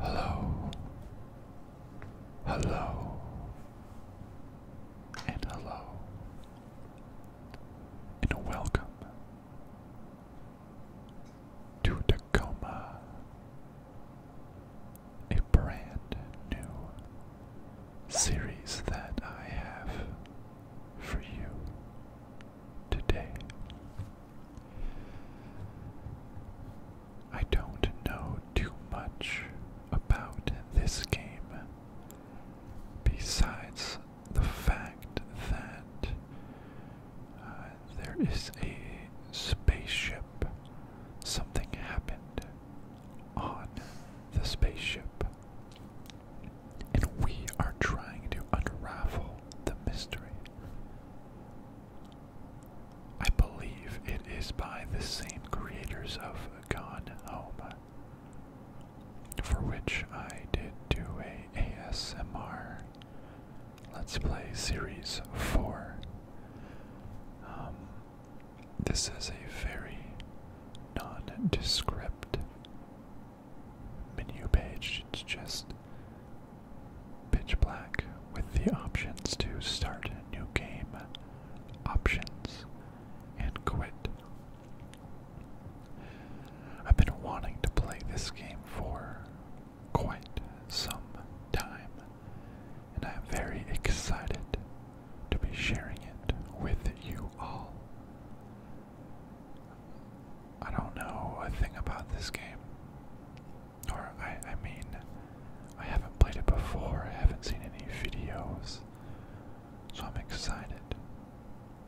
Hello, hello, and hello, and welcome to Tacoma, a brand new series that I have for you today. I don't know too much about this game besides the fact that uh, there is a spaceship Something happened on the spaceship. And we are trying to unravel the mystery. I believe it is by the same creators of Gone Home, for which I did do a ASMR Let's Play Series 4. Um, this is a very nondescript menu page. It's just pitch black with the options to start a new game, options, and quit. I've been wanting to play this game for quite some time and I am very excited to be sharing it with you all. I don't know a thing about this game. Or, I, I mean, I haven't played it before, I haven't seen any videos. So I'm excited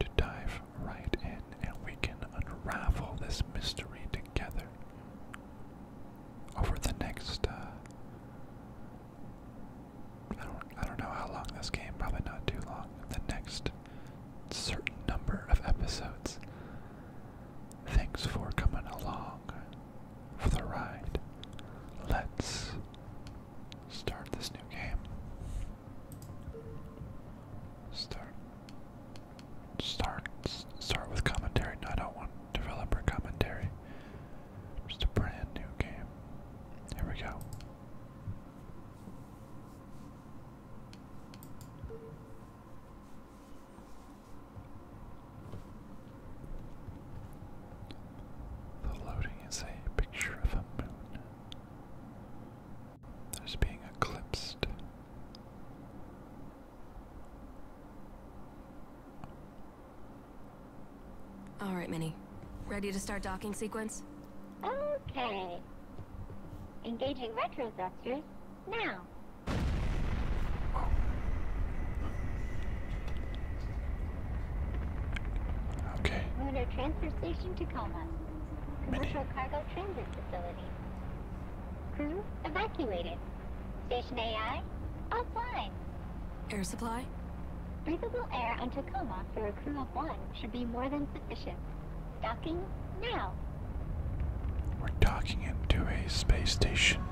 to dive right in and we can unravel this mystery together over the next uh, I don't I don't know how long this game, probably not too long. The next certain number of episodes. Thanks for coming along for the ride. Let's start this new game. Start start start with commentary. No, I don't want developer commentary. Just a brand new game. Here we go. The loading is a picture of a moon that is being eclipsed. All right, Minnie. Ready to start docking sequence? Okay. Engaging retro thrusters now. Okay. Lunar Transfer Station Tacoma. Commercial Cargo Transit Facility. Crew evacuated. Station AI offline. Air supply? Breathable air on Tacoma for a crew of one should be more than sufficient. Docking now. We're docking into a space station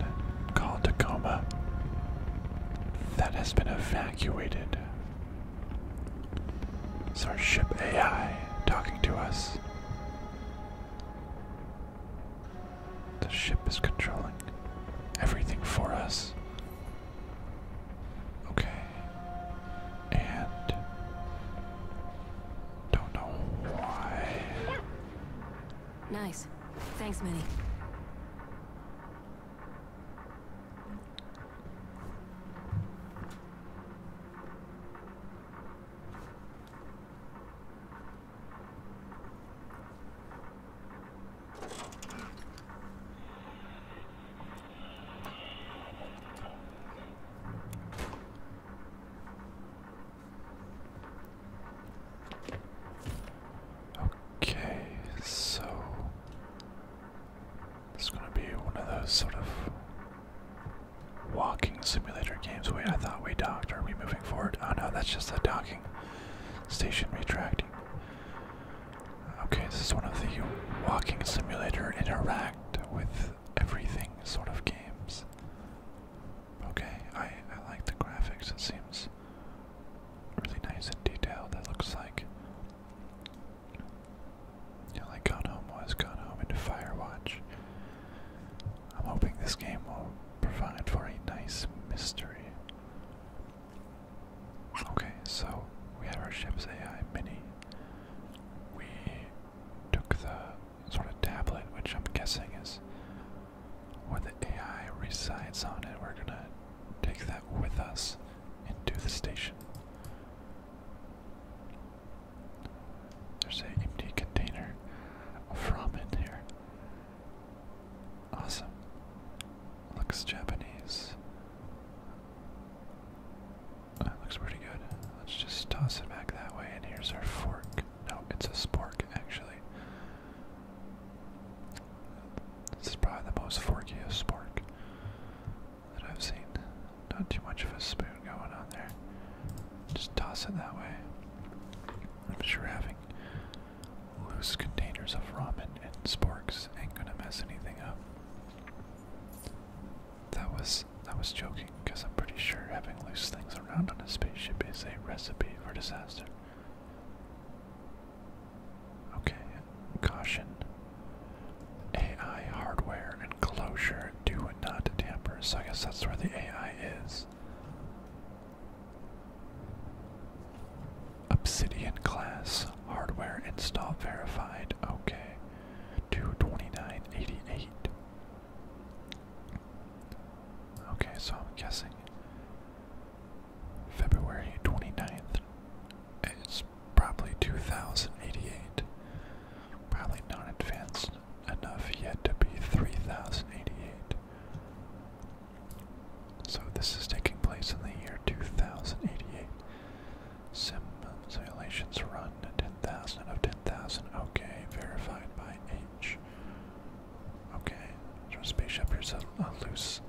called Tacoma that has been evacuated. It's our ship AI talking to us. The ship is controlling everything for us. Okay. And don't know why. Nice. Thanks, Minnie. Okay, so it's gonna be one of those sort of walking simulator games. Wait, I thought we docked. Are we moving forward? Oh no, that's just the docking. Station retracting. Okay, this is one of the walking simulator interact with everything sort of games. Okay, I, I like the graphics, it seems really nice and detailed. That looks like. Yeah, like Gone Home i was, Gone Home into watch. I'm hoping this game will provide for a nice mystery. Okay, so we have our ship's AI mini. We took the sort of tablet, which I'm guessing is where the AI resides on it. We're gonna take that with us into the station. There's an empty container of ramen here. Awesome. Looks Japanese. That looks pretty good. Let's just toss it back that way, and here's our fork. No, it's a spork, actually. This is probably the most of spork that I've seen. Not too much of a spoon going on there. Just toss it that way. I'm sure having loose containers of ramen and sporks ain't gonna mess anything up. That was that was joking, because I'm pretty sure having loose things around on a spaceship is a recipe for disaster. Okay, caution. AI hardware enclosure closure do not tamper, so I guess that's where the AI is. Obsidian class hardware install verified. Okay. 22988. Okay, so I'm guessing February 29th. It's probably 2088. Probably not advanced enough yet to be 3088. So this is taking place in the year 2088. Simulations run 10,000 of 10,000. Okay, verified by H. Okay, so spaceship here's a, loose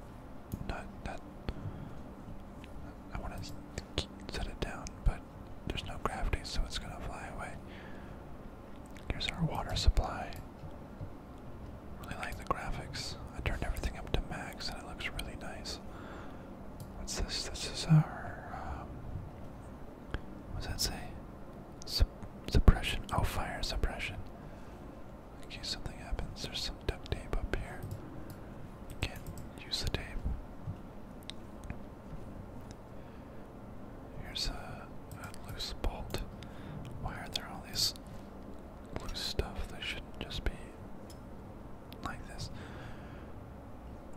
nut that I want to set it down, but there's no gravity, so it's gonna fly away. Here's our water supply. Really like the graphics. I turned everything up to max, and it looks really nice. What's this? This is our. Um, what does that say? suppression. Oh, fire suppression. In case something happens, there's some duct tape up here. Can't use the tape. Here's a loose bolt. Why are there all these loose stuff. They shouldn't just be like this.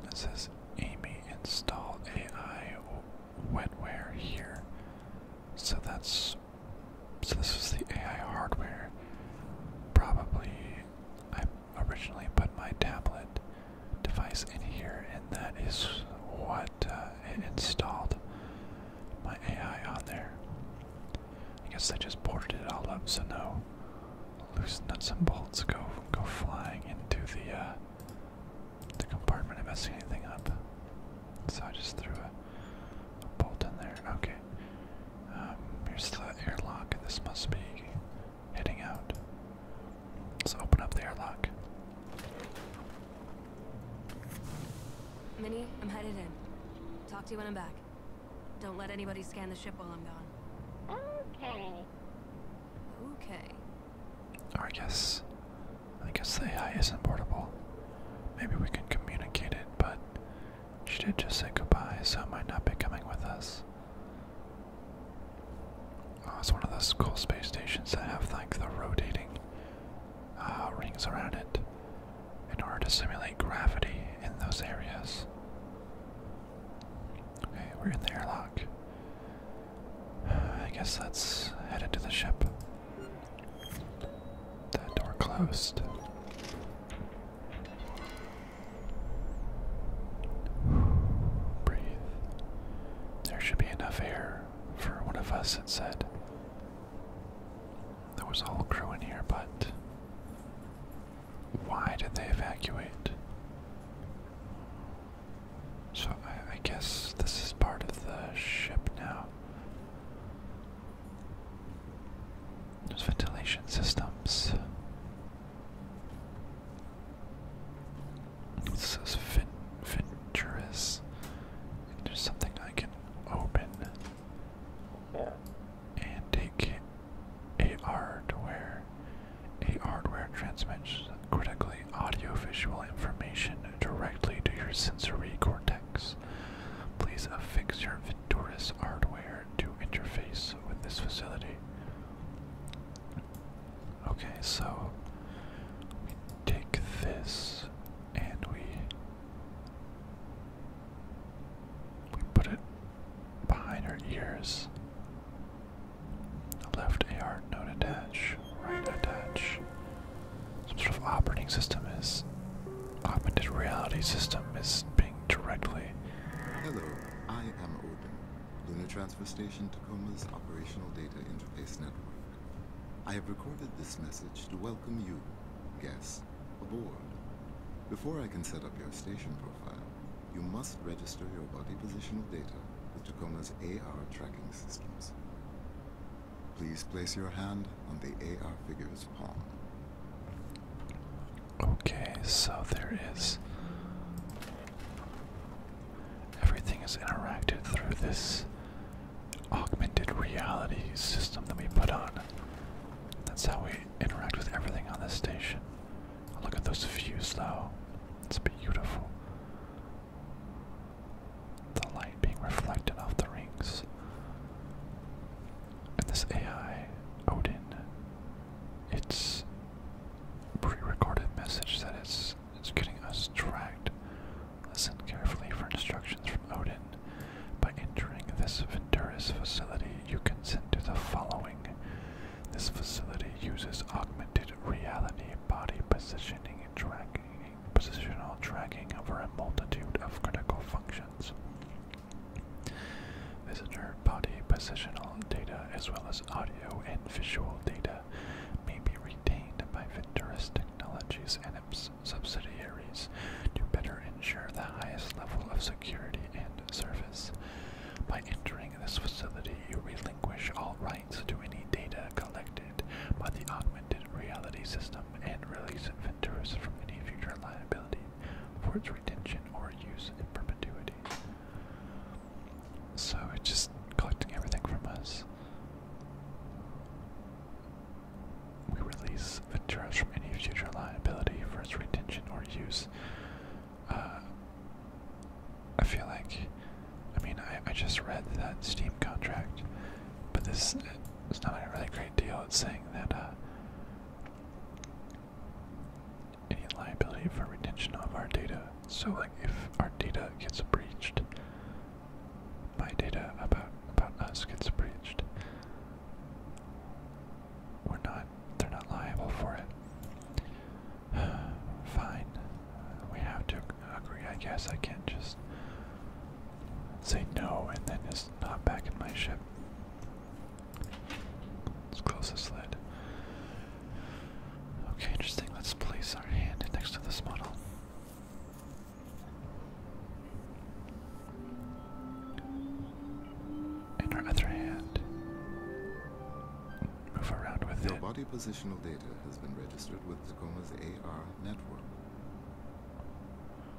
It says Amy install AI wetware here. So that's so this is the AI hardware. Probably I originally put my tablet device in here and that is what uh, installed my AI on there. I guess I just boarded it all up, so no loose nuts and bolts go go flying into the uh, the compartment and messing anything up. So I just threw a, bolt in there. Okay, um, here's the airlock. This must be heading out. Let's open up the airlock. Minnie, I'm headed in. Talk to you when I'm back. Don't let anybody scan the ship while I'm gone. Okay. Okay. I guess... I guess the AI isn't portable. Maybe we can communicate it, but... She did just say goodbye, so it might not be coming with us. Oh, it's one of those cool space stations that have, like, the rotating uh, rings around it in order to simulate gravity in those areas. Okay, we're in the airlock. I guess let's head into the ship. That door closed. Breathe. There should be enough air for one of us, it said. There was a whole crew in here, but why did they evacuate? So I, guess this is part of the ship now. There's ventilation systems. This is Venturous. There's something I can open. And take a hardware. A hardware transmits critically audiovisual information directly to your sensory cortex. Please affix your Venturis hardware to interface with this facility. Okay, so we take this and we we put it behind our ears. Left AR, no attach, right attach. Some sort of operating system is augmented reality system is being directly. Hello, I am Odin, Lunar Transfer Station Tacoma's operational data interface network. I have recorded this message to welcome you, guests aboard. Before I can set up your station profile, you must register your body positional data with Tacoma's AR tracking systems. Please place your hand on the AR figure's palm. Okay, so there is. Everything is interacted through this augmented reality system that we put on. That's how we interact with everything on this station. Look at those views though. It's beautiful. The light being reflected off the rings. And this AI, Odin, its pre-recorded message that it's, getting us tracked. Listen carefully for instructions from Odin. By entering this Venturis facility, you consent to the following. This facility uses augmented reality body positioning and tracking, positional tracking over a multitude of critical functions. Visitor body positional data as well as audio and visual data may be retained by Venturis Technologies and its subsidiaries to better ensure the highest level of security and service. By entering this facility, you relinquish all rights to any data collected by the augmented reality system and release inventors from any future liability for its retention or use in perpetuity. So it's just collecting everything from us. We release the trust from any future liability for its retention or use. Uh, I feel like, I mean, I, I just read that Steam contract, but this is not a really great deal. It's saying that uh, any liability for retention of our data. So, like, if our data gets breached, my data about about us gets breached. We're not, they're not liable for it. Fine. We have to agree, I guess. I can't just say no and then it's not back in my ship. Let's close this lid. Okay, interesting. Let's place our hand next to this model. And our other hand. Move around with Your body positional data has been registered with Tacoma's AR network.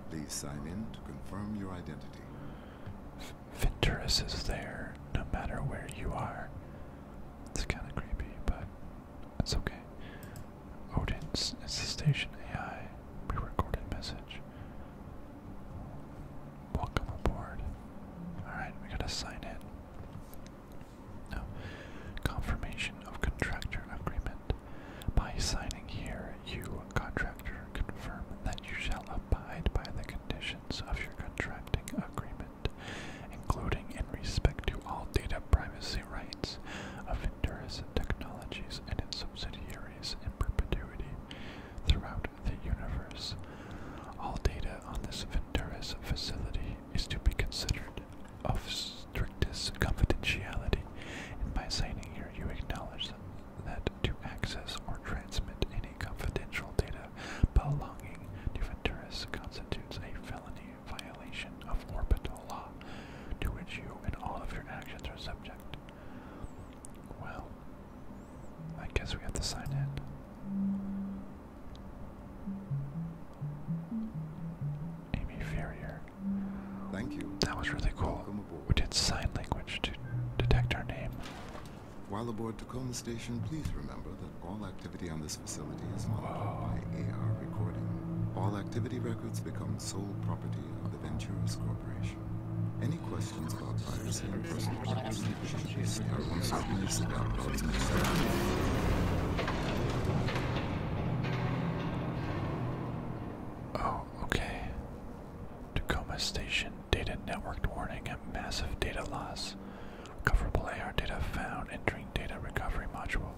Please sign in to confirm your identity. Venturus is there no matter where you are. It's kind of creepy, but it's okay. Odin's it's the station AI pre recorded message. Welcome aboard. Alright, we gotta sign in. No. Confirmation of contractor agreement. By signing here, you, contractor, confirm that you shall abide by the conditions of your contracting agreement, including in respect to all data privacy rights of Arcturus Technologies and its subsidiaries in perpetuity throughout the universe. All data on this Venturis facility is to be considered of strictest confidentiality, and by signing here you acknowledge that to access or transmit any confidential data belonging to Venturis constitutes a felony violation of orbital law, to which you and all of your actions are subject. Well, I guess we have to sign in. Amy Ferrier. Thank you. That was really cool. We did sign language to detect our name. While aboard Tacoma Station, please remember that all activity on this facility is monitored by AR recording. All activity records become sole property of the Venturis Corporation. Any questions about piracy and personal relationships? Oh, okay. Tacoma Station data networked warning at massive data loss. Recoverable AR data found entering data recovery module.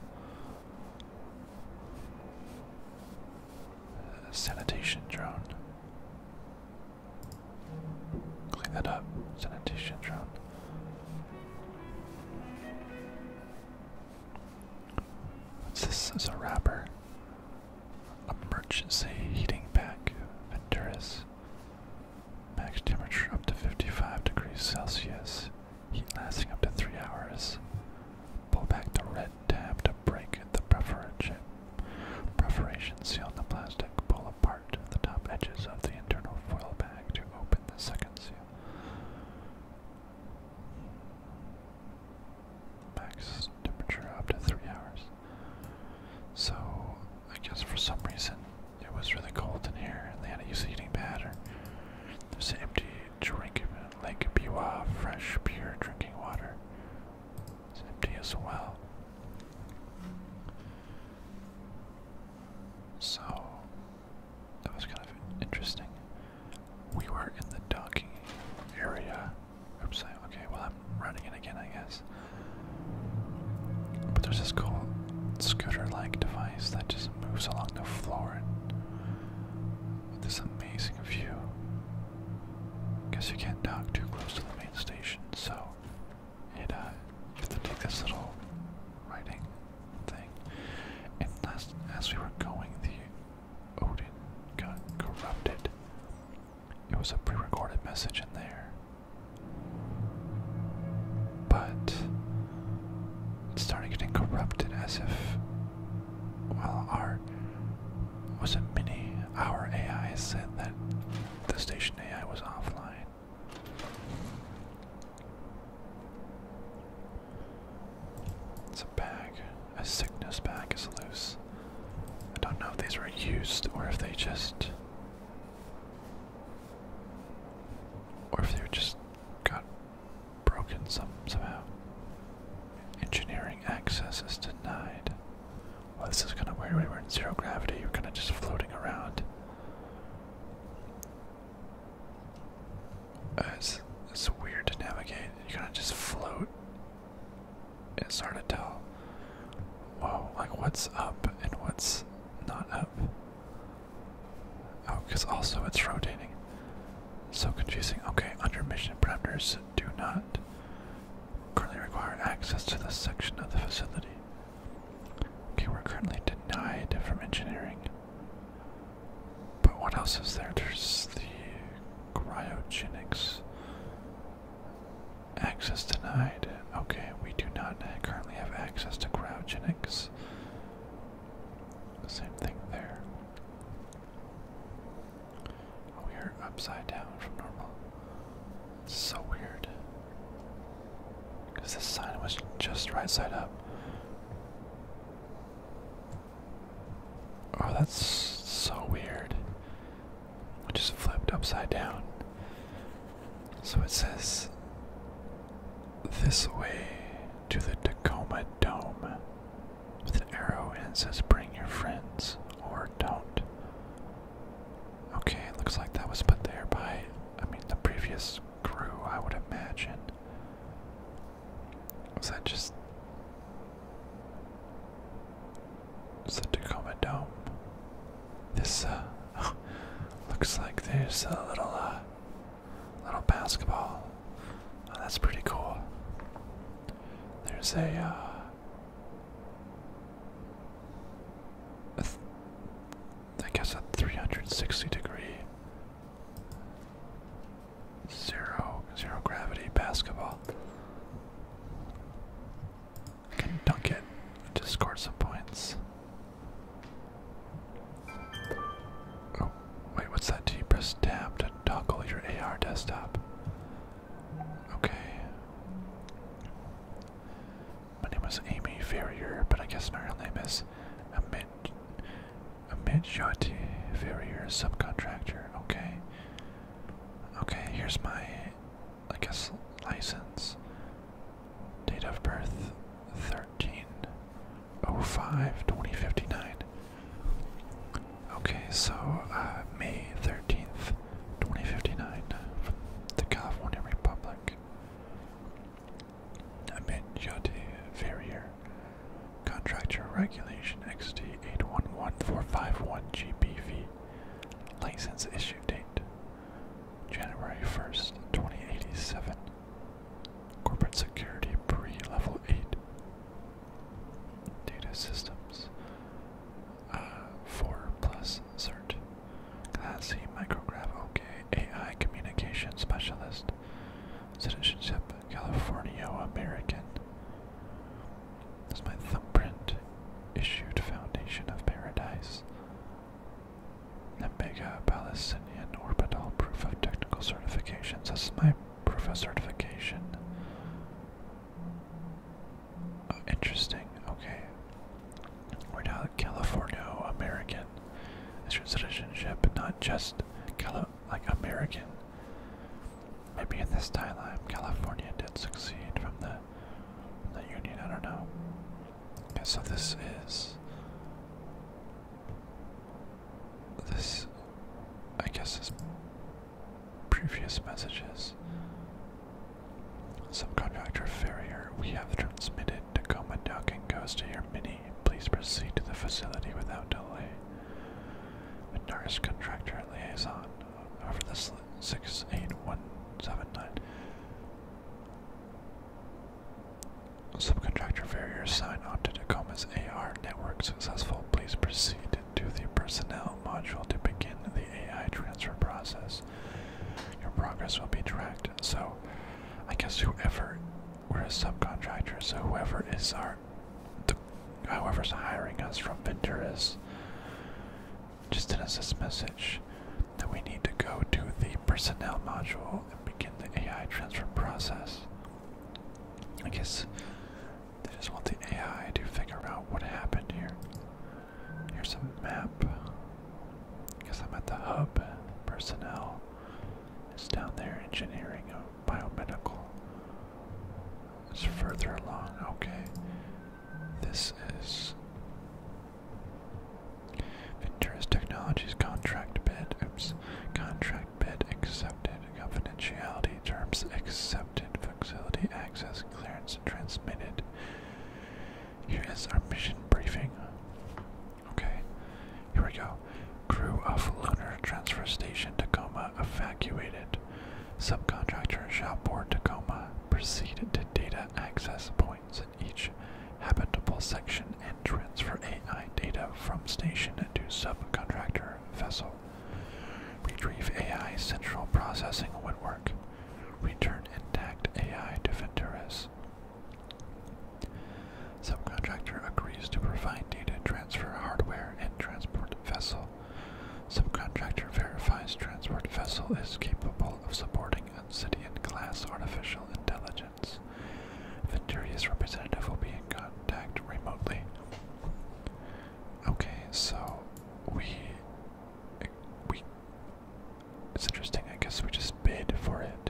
Uh, sanitation drone. Clean that up, sanitation drone. this? is a wrapper. Emergency heating pack. Venturus. Max temperature up to 55 degrees Celsius. Heat lasting up to 3 hours. Pull back the red tab to break the preferential preparation seal the plastic. Pull apart the top edges of the internal foil bag to open the second seal. Max temperature up to three hours. So I guess for some reason it was really cold in here and they had a heating pad or there's an empty drink lake Biwa fresh pure drinking water. It's empty as well. So that was kind of interesting. We were in the docking area. Oops, I, okay, well, I'm running it again, I guess. But there's this cool scooter like device that just moves along the floor with this amazing view. Guess you can't dock too close to the main station, so it uh, have to take this little riding thing. And last as we were going, the Odin got corrupted. It was a pre-recorded message in there. But it started getting corrupted as if well our was it Mini? Our AI said that the station AI was offline. It's a bag. A sickness bag is loose. I don't know if these were used or if they just. Or if they just got broken some somehow. Engineering access is denied. Well, this is kind of weird. We're in zero gravity. you are kind of just floating around. Uh, it's, it's weird to navigate. You are kind of just float. It's hard to tell. Whoa, like what's up and what's not up? Oh, because also it's rotating. So confusing. Okay, under mission parameters, do not currently require access to this section of the facility. Okay, we're currently denied from engineering. But what else is there? There's the cryogenics. Access denied. Okay, we do not currently have access to cryogenics. Same thing there. We are upside down from normal. so weird. Because this sign was just right side up. Oh, that's so weird. It just flipped upside down. So it says this way to the Tacoma Dome with an arrow and says bring your friends or don't. Okay, it looks like that was put there by, I mean, the previous crew, I would imagine. Was that just. It's the Tacoma Dome. This, uh. looks like there's a little, uh. Little basketball. Oh, that's pretty cool. There's a, uh. I guess a 360 degree zero zero gravity basketball. can dunk it Just score some points. Oh, wait, what's that? Do you press tab to toggle your AR desktop? Okay. My name is Amy Ferrier, but I guess my real name is Amit Amit Jati Ferrier subcontractor. Okay. Okay, here's my I guess license. Date of birth 13 2059. Okay, so uh, May 13th, 2059, from the California Republic. Amid Yote Farrier, Contractor Regulation XD 811451GBV, License Issue Date January 1st, 2087. Corporate Security Pre Level 8. Data Systems 4 plus cert. Class C micrograph, okay. AI communication specialist. Citizenship, California American. Is my thumbprint issued Foundation of Paradise? Nambega Palestinian Orbital Proof of Technical Certifications. This is my proof of certification. Oh, interesting. Okay. We're now Californo American. It's but not just Cali like American. Maybe in this timeline, California did succeed from the the Union. I don't know. so this is this. I guess is Previous messages. Subcontractor Ferrier, we have transmitted Tacoma docking goes to your mini. Please proceed to the facility without delay. Menard's contractor liaison over the 68179. Subcontractor Ferrier sign on to Tacoma's AR network successful. Please proceed to the personnel module to begin the AI transfer process. Your progress will be tracked. So, I guess whoever we're a subcontractor, so whoever is our, the, whoever's hiring us from Venturis, just sent us message that we need to go to the personnel module and begin the AI transfer process. I guess they just want the AI to figure out what happened here. Here's a map. I guess I'm at the hub. Personnel is down there. Engineering, oh, biomedical. It's further along. Okay. This is Ventura's Technologies contract bid. Oops. Contract bid accepted. Confidentiality terms accepted. Facility access clearance transmitted. Here is our mission briefing. Okay, here we go. Crew of Lunar Transfer Station Tacoma evacuated. Subcontractor Shopboard Tacoma proceeded to data access points in each habitable section and transfer AI data from station to subcontractor vessel. Retrieve AI central processing would work. Return intact AI to Venturis. Subcontractor agrees to provide data transfer hardware and transport vessel. Subcontractor verifies transport vessel is capable of supporting Obsidian class artificial intelligence. Venturi's representative will be in contact remotely. Okay, so we we it's interesting. I guess we just bid for it.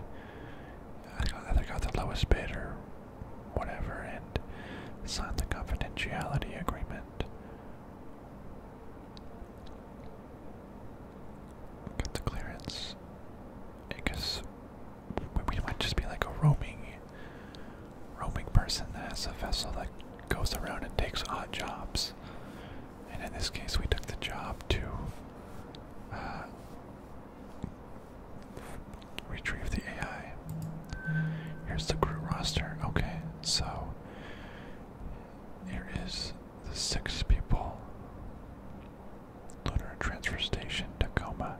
I either got the lowest bid or whatever, and signed the confidentiality agreement. Got the clearance. I guess we might just be like a roaming, roaming person that has a vessel that goes around and takes odd jobs. And in this case, we took the job to uh, retrieve the AI. Here's the crew roster. Okay, so here is the six people. Lunar transfer station, Tacoma.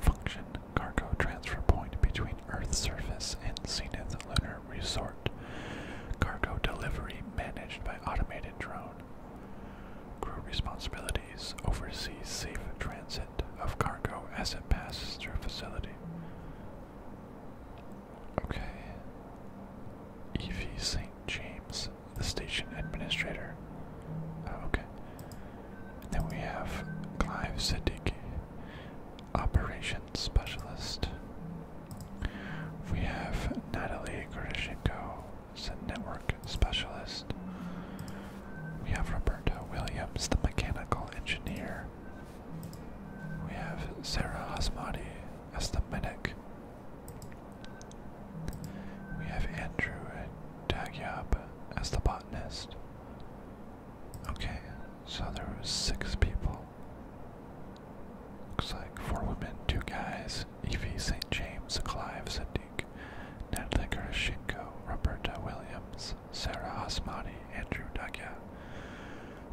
Function cargo transfer point between Earth's surface and zenith lunar Resort. Cargo delivery managed by automated drone. Crew responsibilities oversee safe transit of cargo as it passes through facility. Okay. E.V. St. James, the station administrator. Oh, okay. Then we have Clive Siddiqui, operations specialist. We have Natalie Gordashenko as a network specialist. We have Roberto Williams, the mechanical engineer. We have Sarah Osmadi as the medic. We have Andrew Dagyab as the botanist. Okay, so there was six people. Looks like four women, two guys, Evie St. James, Clive Sadiq, Natalie Karashenko, Roberta Williams, Sarah Osmani, Andrew Dagia.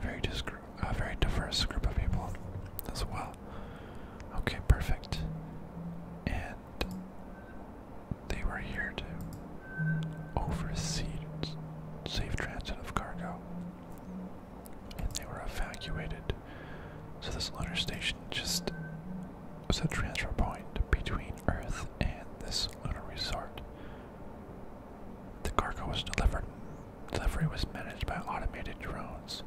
Very, uh, very diverse group of people as well. Okay, perfect. And they were here to oversee safe transit of cargo and they were evacuated. So this lunar station just was a transfer point between Earth and this lunar resort. The cargo was delivered. Delivery was managed by automated drones.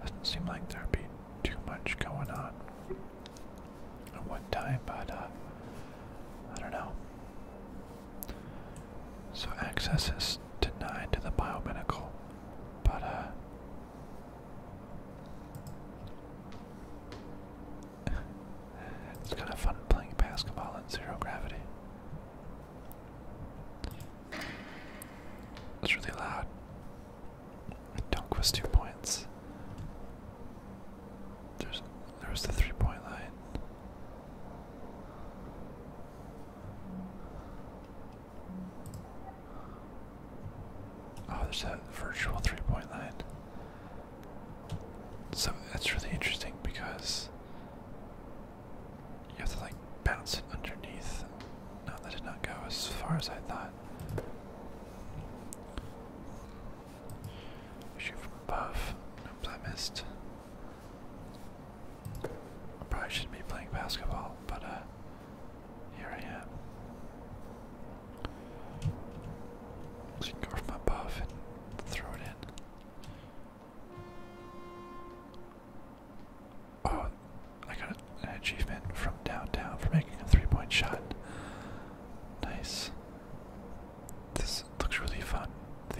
Doesn't seem like there'd be too much going on at one time, but uh, I don't know. So access is denied to the biomedical, but uh, it's kind of fun playing basketball in zero gravity. It's really loud. Dunk was two points. There's there was the three point line. Oh, there's a virtual three point line. So that's really interesting because you have to like bounce it underneath. No, that did not go as far as I thought. Shoot from above. Oops, I missed. I probably shouldn't be playing basketball, but uh, here I am. go from above and throw it in. Oh, I got an achievement from down, down for making a three-point shot. Nice. This looks really fun. The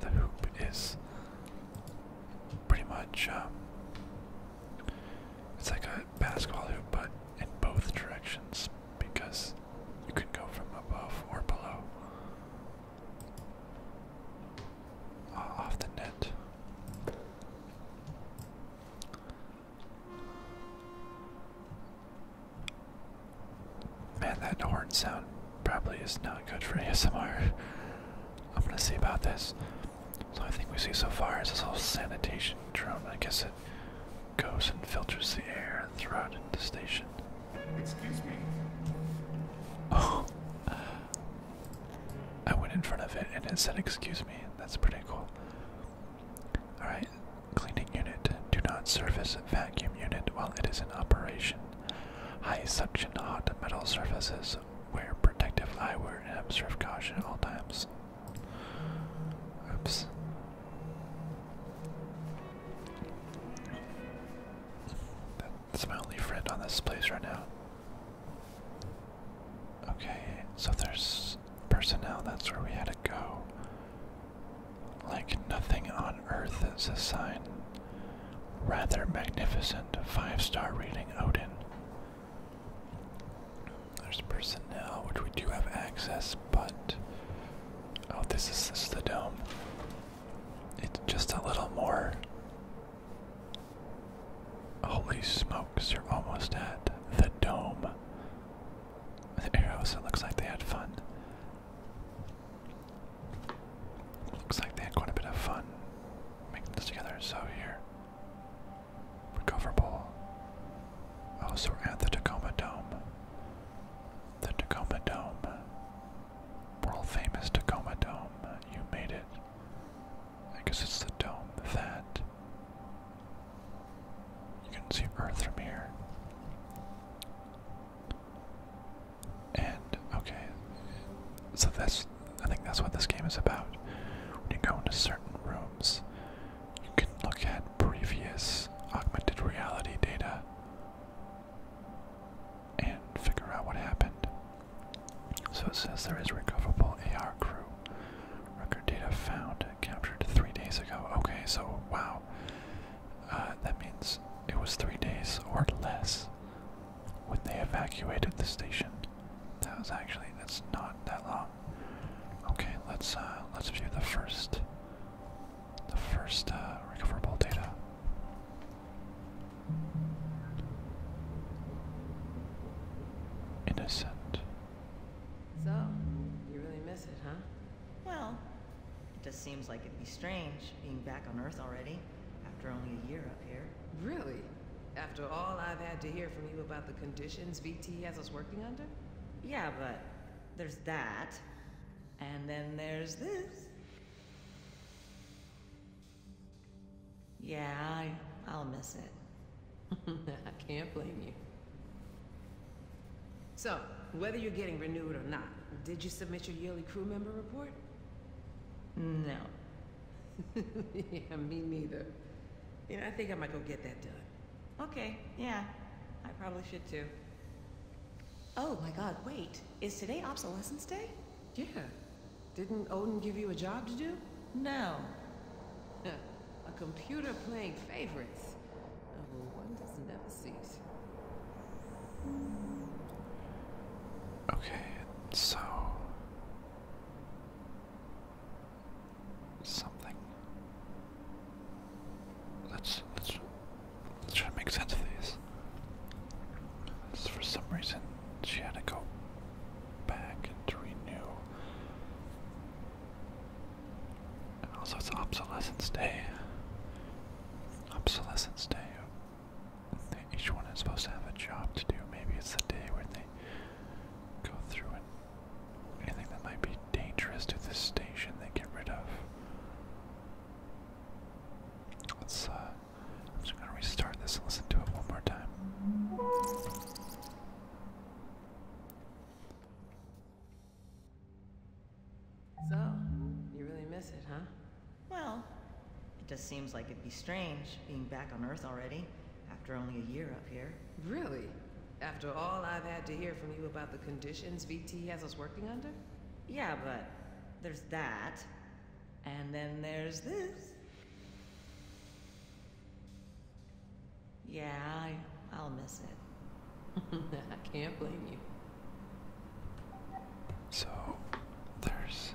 the hoop is pretty much um, it's like a basketball hoop, but in both directions because you can go from above or below uh, off the net. Man, that horn sound probably is not good for ASMR. I'm gonna see about this. So I think we see so far is this whole sanitation drum. I guess it goes and filters the air throughout the station. Excuse me. Oh. I went in front of it and it said excuse me. That's pretty cool. Alright. Cleaning unit. Do not service vacuum unit while it is in operation. High suction on metal surfaces. Wear protective eyewear and observe caution at all times. Oops. That's my only friend on this place right now. Okay, so there's personnel, that's where we had to go. Like nothing on earth is a sign rather magnificent five-star rating Odin. There's personnel, which we do have access, but oh, this is the dome. It's just a little more. Holy smokes! You're almost at the dome. The arrows. It looks like they had fun. Looks like they had quite a bit of fun making this together, so here. Recoverable. Oh, so at the Tacoma Dome. The Tacoma Dome. World famous Tacoma Dome. You made it. I guess it's the dome that. You can see Earth from here. And okay, so that's I think that's what this game is about. When you go into certain rooms, you can look at previous augmented reality data and figure out what happened. So it says there is recoverable AR crew. Record data found captured three days ago. Okay, so wow. Uh, that means it was three days or less when they evacuated the station. That was actually that's not that long. Okay, let's uh, let's view the first the first uh, recoverable data. Innocent. So, you really miss it, huh? Well, it just seems like it'd be strange being back on Earth already, after only a year up here. Really? After all I've had to hear from you about the conditions VT has us working under? Yeah, but there's that. And then there's this. Yeah, I'll miss it. I can't blame you. So, whether you're getting renewed or not, did you submit your yearly crew member report? No. yeah, me neither. You know, I think I might go get that done. Okay, yeah. I probably should too. Oh my god, wait. Is today Obsolescence Day? Yeah. Didn't Odin give you a job to do? No. a computer playing favorites. Well, oh, one does never cease. Okay, so something. Let's let's let's try to make sense of these. for some reason, she had to go back and renew. And also, it's Obsolescence Day. Obsolescence Day each one is supposed to have a job to do. Maybe it's the day where they go through and anything that might be dangerous to the station they get rid of. Let's, uh, I'm just gonna restart this and listen to it one more time. So, you really miss it, huh? Well, it just seems like it'd be strange being back on Earth already, after only a year up here. Really? After all I've had to hear from you about the conditions VT has us working under? Yeah, but there's that. And then there's this. Yeah, I, will miss it. I can't blame you. So there's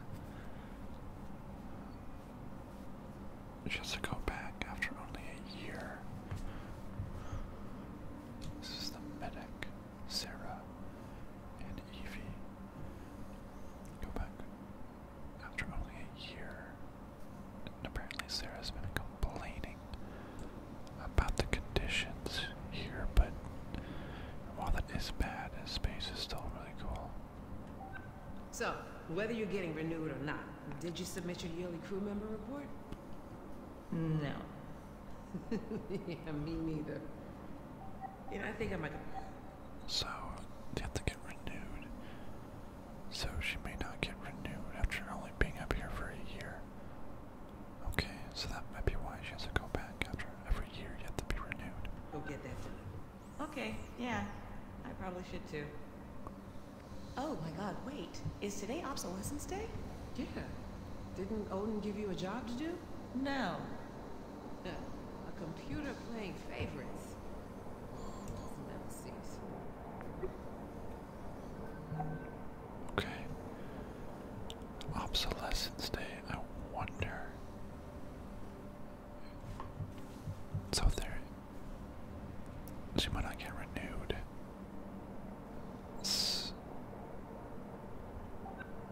just to go back after only a year. This is the medic, Sarah, and Evie. Go back after only a year. And apparently Sarah's been complaining about the conditions here, but while that is bad, his space is still so, whether you're getting renewed or not, did you submit your yearly crew member report? No. yeah, me neither. You know, I think I might. So, you have to get renewed. So she may not get renewed after only being up here for a year. Okay, so that might be why she has to go back after every year yet to be renewed. Go get that done. Okay, yeah. I probably should too. Oh my god, wait. Is today obsolescence day? Yeah. Didn't Odin give you a job to do? No. a computer playing favorites. Never cease. Okay. Obsolescence day, I wonder. So if there, she might not get renewed.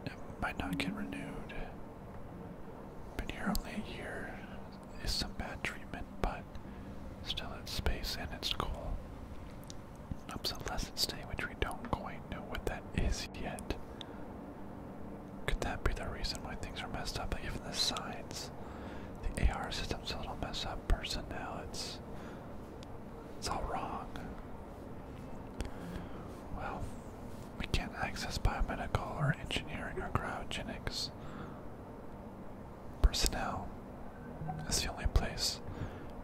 it might not get renewed. Been here only a year. Is some bad treatment, but still it's space and it's cool. Obsolescence day, which we don't quite know what that is yet. Could that be the reason why things are messed up? even the signs, the AR system's a little messed up. Personnel, it's it's all wrong. Well, we can't access biomedical or engineering or cryogenics. Personnel that's the only place,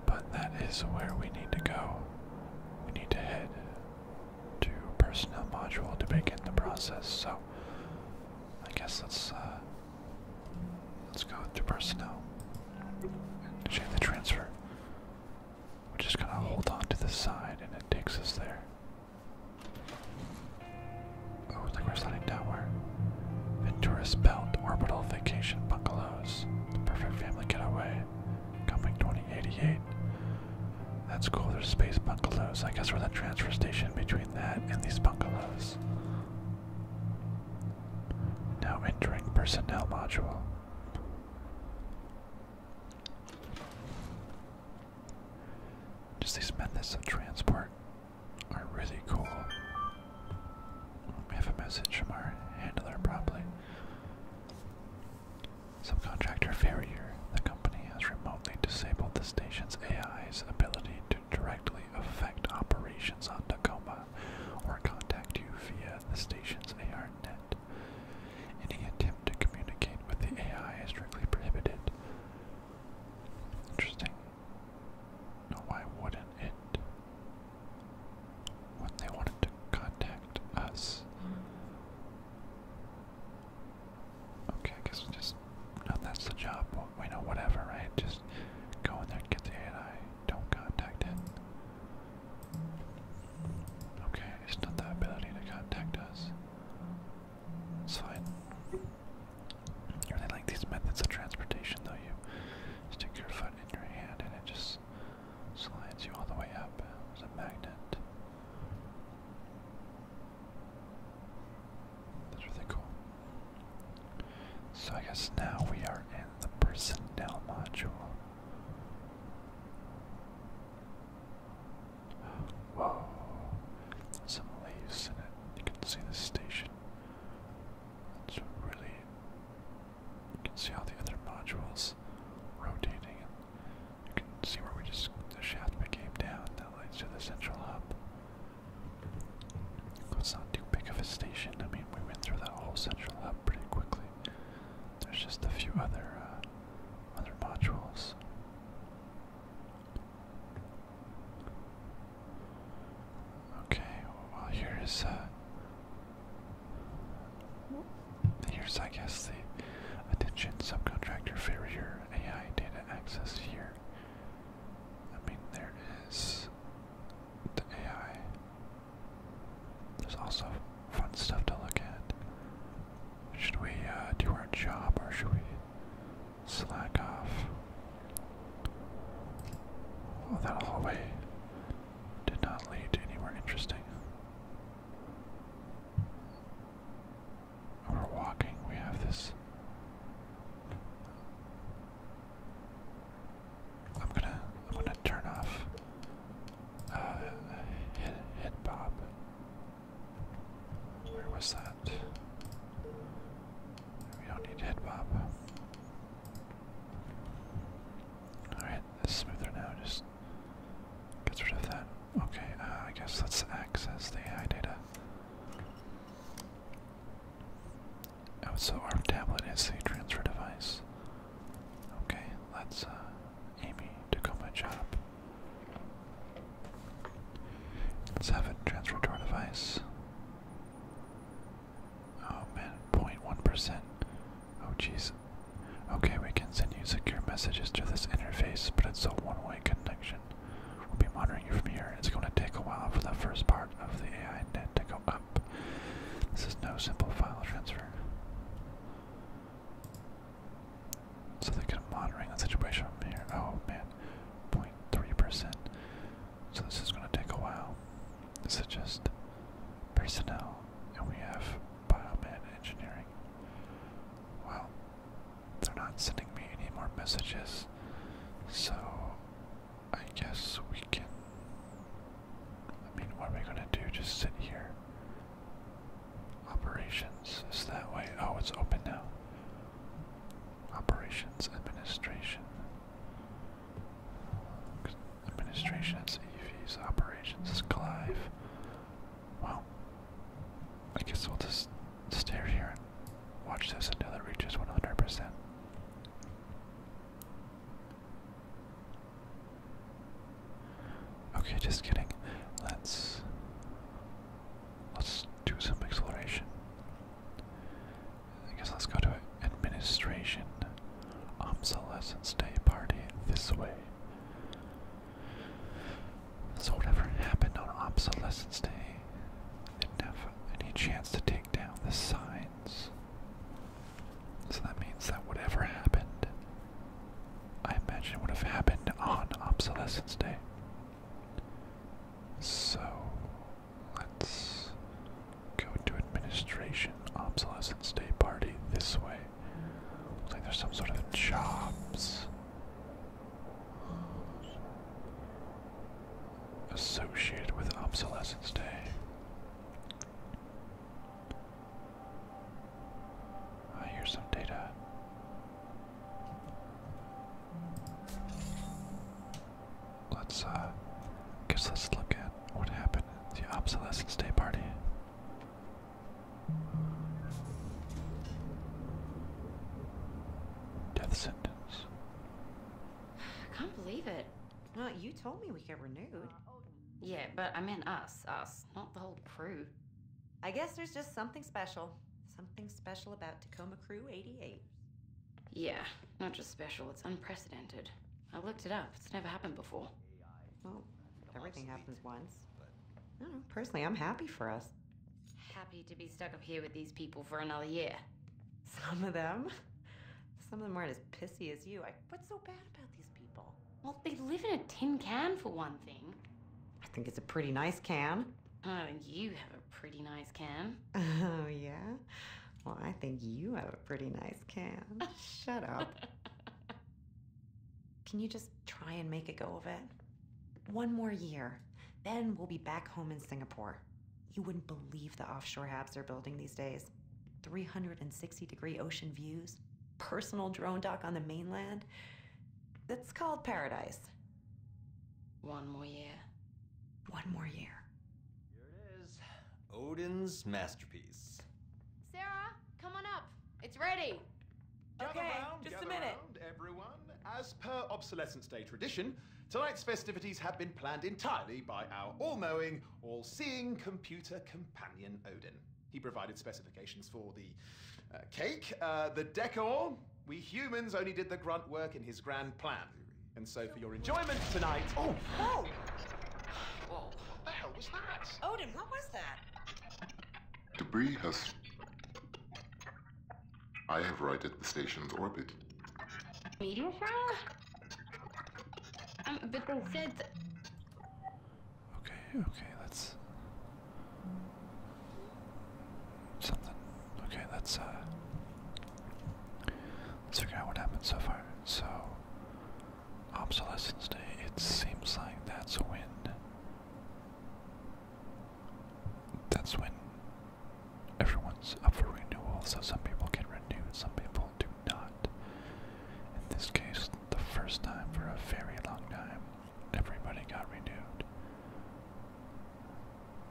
but that is where we need to go. We need to head to personnel module to begin the process. So I guess let's uh, let's go to personnel and the transfer. We're just gonna hold on to the side, and it takes us there. Oh, it's like we're sliding downward. Ventura's Belt Orbital Vacation Bungalows. The perfect family getaway. Coming 2088. That's cool, there's space bungalows. I guess we're the transfer station between that and these bungalows. Now entering personnel module. Just these methods of transport are really cool. We have a message from our handler, probably. Subcontractor failure. the company has remotely disabled the station's AI's ability to directly affect operations on Tacoma or contact you via the station's AR net. Any attempt to communicate with the AI is strictly prohibited. Interesting. No, why wouldn't it? When they wanted to contact us. Okay, I guess we just. No, that's the job. we know whatever, right? Just go in there, get the AI. Don't contact it. Okay, it's not that ability to contact us. It's fine. I really like these methods of transportation, though. You stick your foot in your hand and it just slides you all the way up as a magnet. That's really cool. So I guess now we are in the personnel module. Whoa. Some leaves in You can see the station. It's really you can see all the other modules rotating you can see where we just the shaft became down that leads to the central hub. It's not too big of a station. I mean, we went through that whole central hub pretty quickly. There's just a few other uh, other modules. Okay, well here is uh, Here's, I guess, the attention subcontractor failure AI data access here. I mean, there is the AI. There's also fun stuff to look at. Should we uh, do our job or should we slack off? Oh, that hallway did not lead to anywhere interesting. We're walking, we have this. I'm gonna, I'm gonna turn off. Uh, hit, hit Bob. Where was that? We don't need hit Bob. All right, this smoother now. Just gets rid of that. Okay, uh, I guess let's access the AI data. Oh, so our tablet is the transfer device. Okay, let's uh, Amy to go job. let have it transfer to our device. Oh man, 0.1%. Oh jeez. Okay, we can send you secure messages through this interface, but it's a one-way connection. We'll be monitoring you from here. It's going to take a while for the first part of the AI net to go up. This is no simple file transfer. So they're kind of monitoring the situation from here. Oh man, 0.3%. So this is going to take a while. This is just personnel, and we have biomed engineering. Wow, they're not sending me any more messages, so I guess we can. I mean, what are we gonna do? Just sit here? Operations is that way. Oh, it's open now. Operations administration. Administration is Operations is Clive. Well, I guess we'll just stare here and watch this until it reaches 100%. Okay, just kidding. Let's let's do some exploration. I guess let's go to administration. Obsolescence Day party this way. So whatever happened on Obsolescence Day didn't have any chance to take down the signs. So that means that whatever happened, I imagine would have happened on Obsolescence Day. So let's go to administration obsolescence day party this way. Looks like there's some sort of jobs associated with Obsolescence Day. Uh, here's some data. Let's, uh, guess let's look at what happened at the Obsolescence Day party. Death sentence. I can't believe it. Well, you told me we get renewed. Yeah, but I meant us, us, not the whole crew. I guess there's just something special. Something special about Tacoma Crew 88. Yeah, not just special, it's unprecedented. I looked it up, it's never happened before. Well, everything happens once. I personally, I'm happy for us. Happy to be stuck up here with these people for another year. Some of them? Some of them aren't as pissy as you. I, what's so bad about these people? Well, they live in a tin can for one thing. I think it's a pretty nice can. Oh, you have a pretty nice can. Oh, yeah? Well, I think you have a pretty nice can. Shut up. Can you just try and make a go of it? One more year, then we'll be back home in Singapore. You wouldn't believe the offshore apps they're building these days 360 degree ocean views, personal drone dock on the mainland. That's called paradise. One more year. One more year. Here it is Odin's masterpiece. Sarah, come on up. It's ready. Gather okay, round, just gather a minute. Round, everyone. As per obsolescence day tradition, tonight's festivities have been planned entirely by our all-knowing, all-seeing computer companion Odin. He provided specifications for the uh, cake, uh, the decor. We humans only did the grunt work in his grand plan. And so for your enjoyment tonight... Oh! Oh! Whoa, what the hell was that? Odin, what was that? Debris has... I have righted the station's orbit. Meteor fire? Um, but they said... Okay, okay, that's... Something. Okay, that's, uh... Let's figure out what happened so far. So, obsolescence day, it seems like that's when that's when everyone's up for renewal. So some people get renewed, some people do not. In this case, the first time for a very long time, everybody got renewed.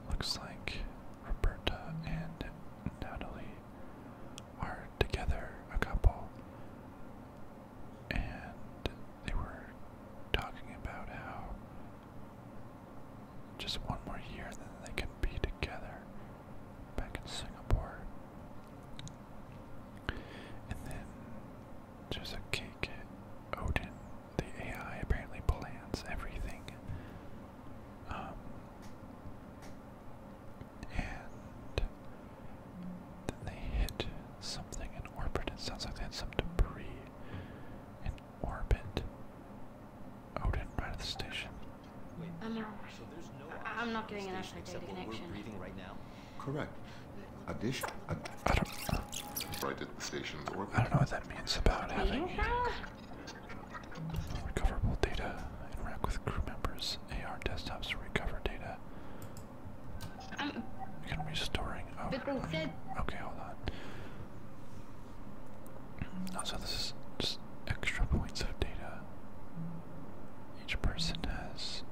Looks like Roberta and Natalie are together a couple, and they were talking about how just one more year, and then they can be together back in Singapore. And then there's a cake at Odin. The AI apparently plans everything. Um, and then they hit something in orbit. It sounds like they had some debris orbit. Odin, right station. I'm not. getting an actual data connection. Right now? Correct. Addition. I don't. the station's orbit. I don't know what that means about having recoverable data. Interact with crew members. AR desktops recover data. I'm Again, restoring. Oh, okay, hold on. Also, oh, this is just extra points of data. Each person has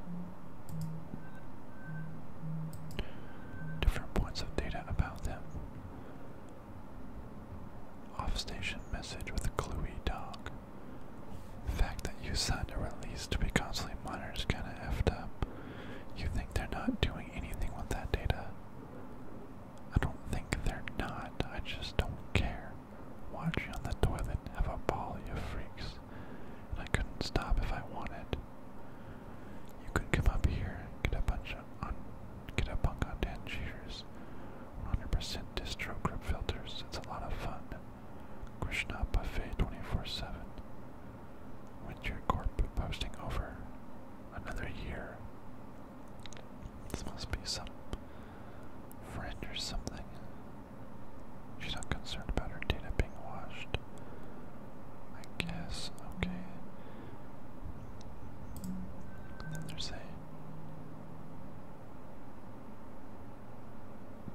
different points of data about them. Off-station message with Cluey Dog. fact that you signed a release to be constantly monitored is kind of effed up. You think they're not doing anything with that data? I don't think they're not. I just don't care. Watch on the toilet have a ball, you freaks. I couldn't stop if I wanted. You can come up here, get a bunch of on, get a bunk on ten Cheers. 100% distro grip filters. It's a lot of fun. Krishna buffet 24/7 with your posting over another year. This must be some friend or something. She's not concerned about her data being washed. I guess, okay. Then there's a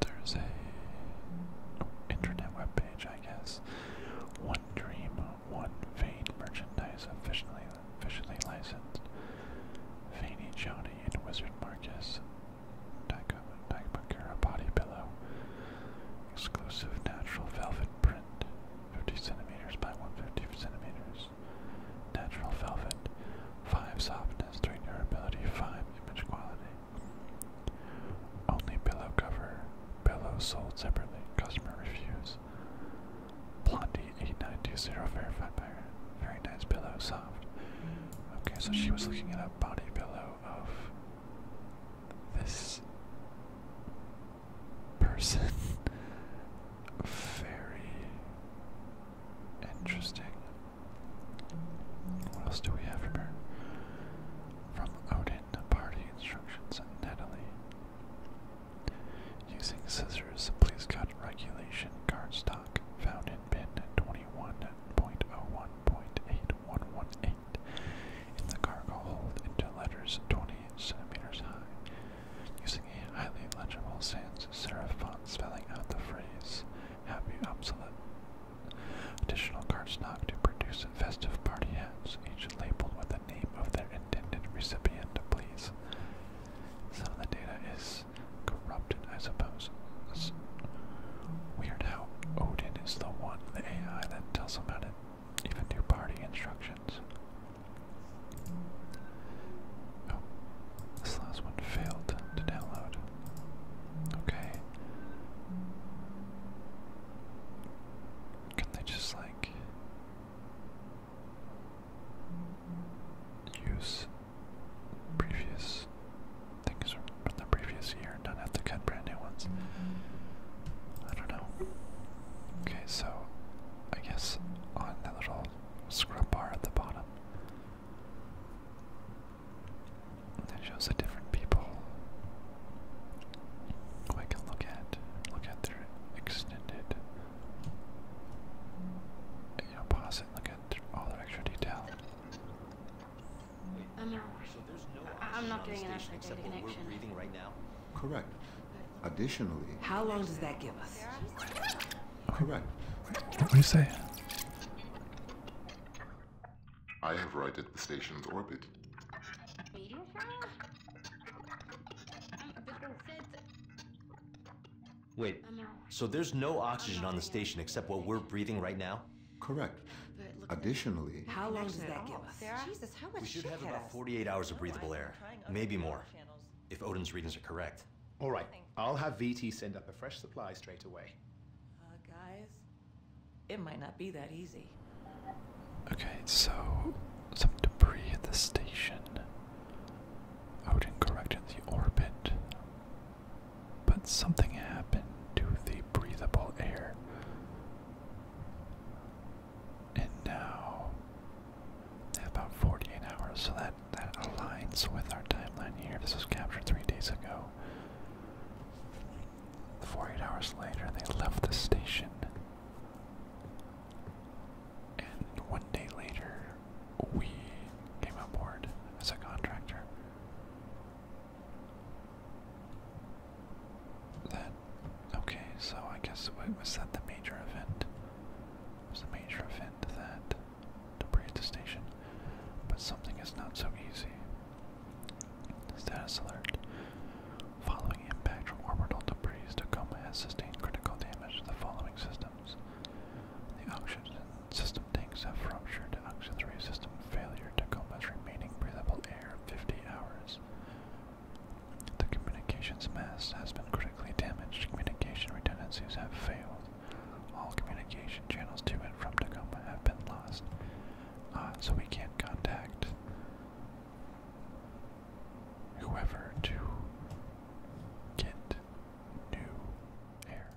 there's a internet web page, I guess. Dream, One Vein merchandise officially officially licensed. Veiny Johnny and Wizard Marcus. Dagmakura Body Pillow. Exclusive natural velvet print. 50 centimeters by 150 centimeters. Natural velvet. 5 softness, 3 durability, 5 image quality. Only pillow cover. Pillows sold separately. Customer reviews. Blondie 8920 verified by Very nice pillow, soft. Okay, so she was looking at a body pillow of this person. Very interesting. What else do we have from her? From Odin hidden party instructions on Natalie. Using scissors, please cut regulation cardstock found in bin 21.01.8118 in the cargo hold into letters 20 centimeters high. Using a highly legible sans serif font spelling out the phrase happy obsolete. Additional cardstock to produce festive party hats, each labeled with a the name of their intended recipient, please. Some of the data is corrupted, I suppose. weird how Odin is the one, the AI, that tells about it, to even do party instructions. Oh, this last one failed to download. Okay. Can they just like use previous things from the previous year and not have to cut brand new ones? I don't know. Okay, so I guess on that little scrub bar at the bottom. that shows the different people Oh, I can look at look at their extended. pause it. Look at all their extra detail. I'm not. doing an actual connection. We're breathing right now. Correct. Additionally. How long does that give us? Correct. What do you say? I have righted the station's orbit. Wait, so there's no oxygen on the station except what we're breathing right now? Correct. Additionally, how long does that give us? We should have about 48 hours of breathable air, maybe more, if Odin's readings are correct. All right, I'll have VT send up a fresh supply straight away. Uh, guys, it might not be that easy. Okay, so some debris at the station. Odin corrected the orbit. But something happened to the breathable air. And now about 48 hours, so that that aligns with our timeline here. This was captured three days ago. 48 hours later, they left the station. And one day later, we came aboard as a contractor. That okay, so I guess what was that the major event? was the major event that debris the station. But something is not so easy. Status alert. Following impact from orbital debris, Tacoma has sustained critical damage to the following systems. The oxygen system tanks have ruptured to oxygen 3 system failure. Tacoma's remaining breathable air 50 hours. The communications mast has been critically damaged. Communication redundancies have failed. All communication channels to and from Tacoma have been lost. Uh, so we can't contact whoever to get new air.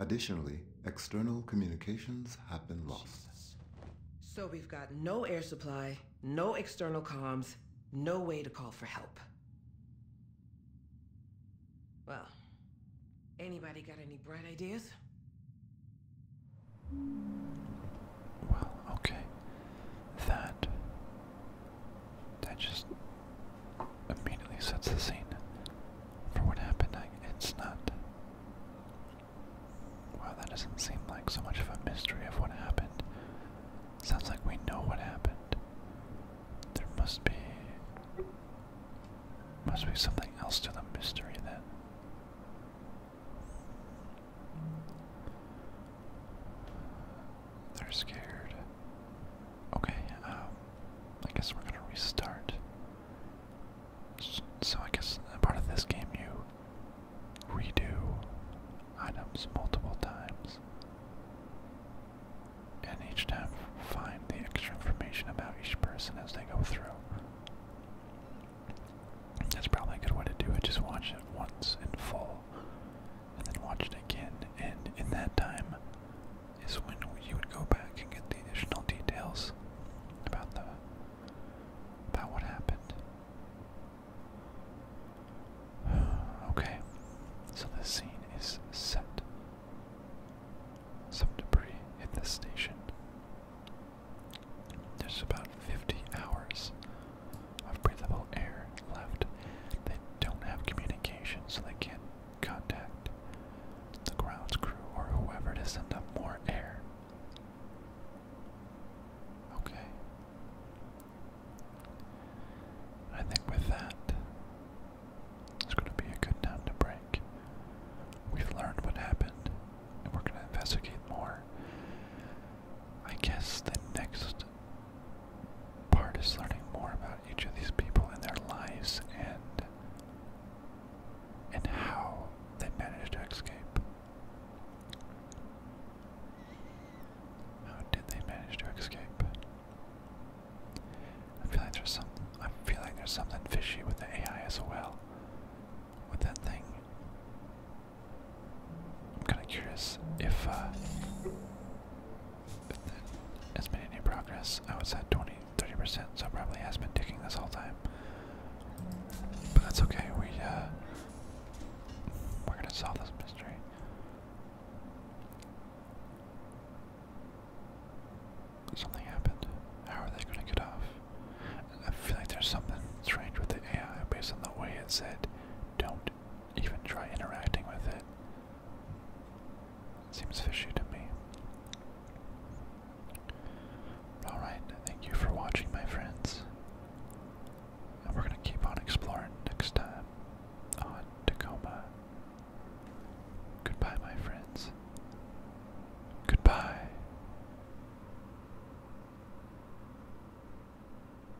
Additionally, external communications have been lost. So we've got no air supply, no external comms, no way to call for help. Well, anybody got any bright ideas? Well, okay. That that just immediately sets the scene for what happened. it's not. Wow, that doesn't seem like so much of a mystery of what happened. Sounds like we know what happened. There must be must be something else to the mystery then. They're scared. Okay, um, I guess we're gonna restart. So I guess part of this game you redo items multiple times. And each time find the extra information about each person as they go through. That's probably a good way to do it. Just watch it once in full, and then watch it again. And in that time is when you would go back and get the additional details about the about what happened. Okay, so the scene is set. Some debris hit the station. There's about 50 hours of breathable air left. They don't have communication, so they can't contact the grounds crew or whoever to send up more air. Okay. I think with that, it's going to be a good time to break. We've learned what happened, and we're going to investigate more. I guess the next part is learning more about each of these people and their lives and and how they managed to escape. How did they manage to escape? I feel like there's some I feel like there's something fishy with the AI as well with that thing. I'm kind of curious if, uh, if that has made any progress. I would say 20, 30%, so it probably has been ticking this whole time. But that's okay. We, uh, we're gonna solve this mystery. Something happened. How are they gonna get off? I feel like there's something strange with the AI based on the way it said don't even try interacting with it. Seems fishy to me. Alright, thank you for watching, my friends. And we're gonna keep on exploring next time on Tacoma. Goodbye, my friends. Goodbye.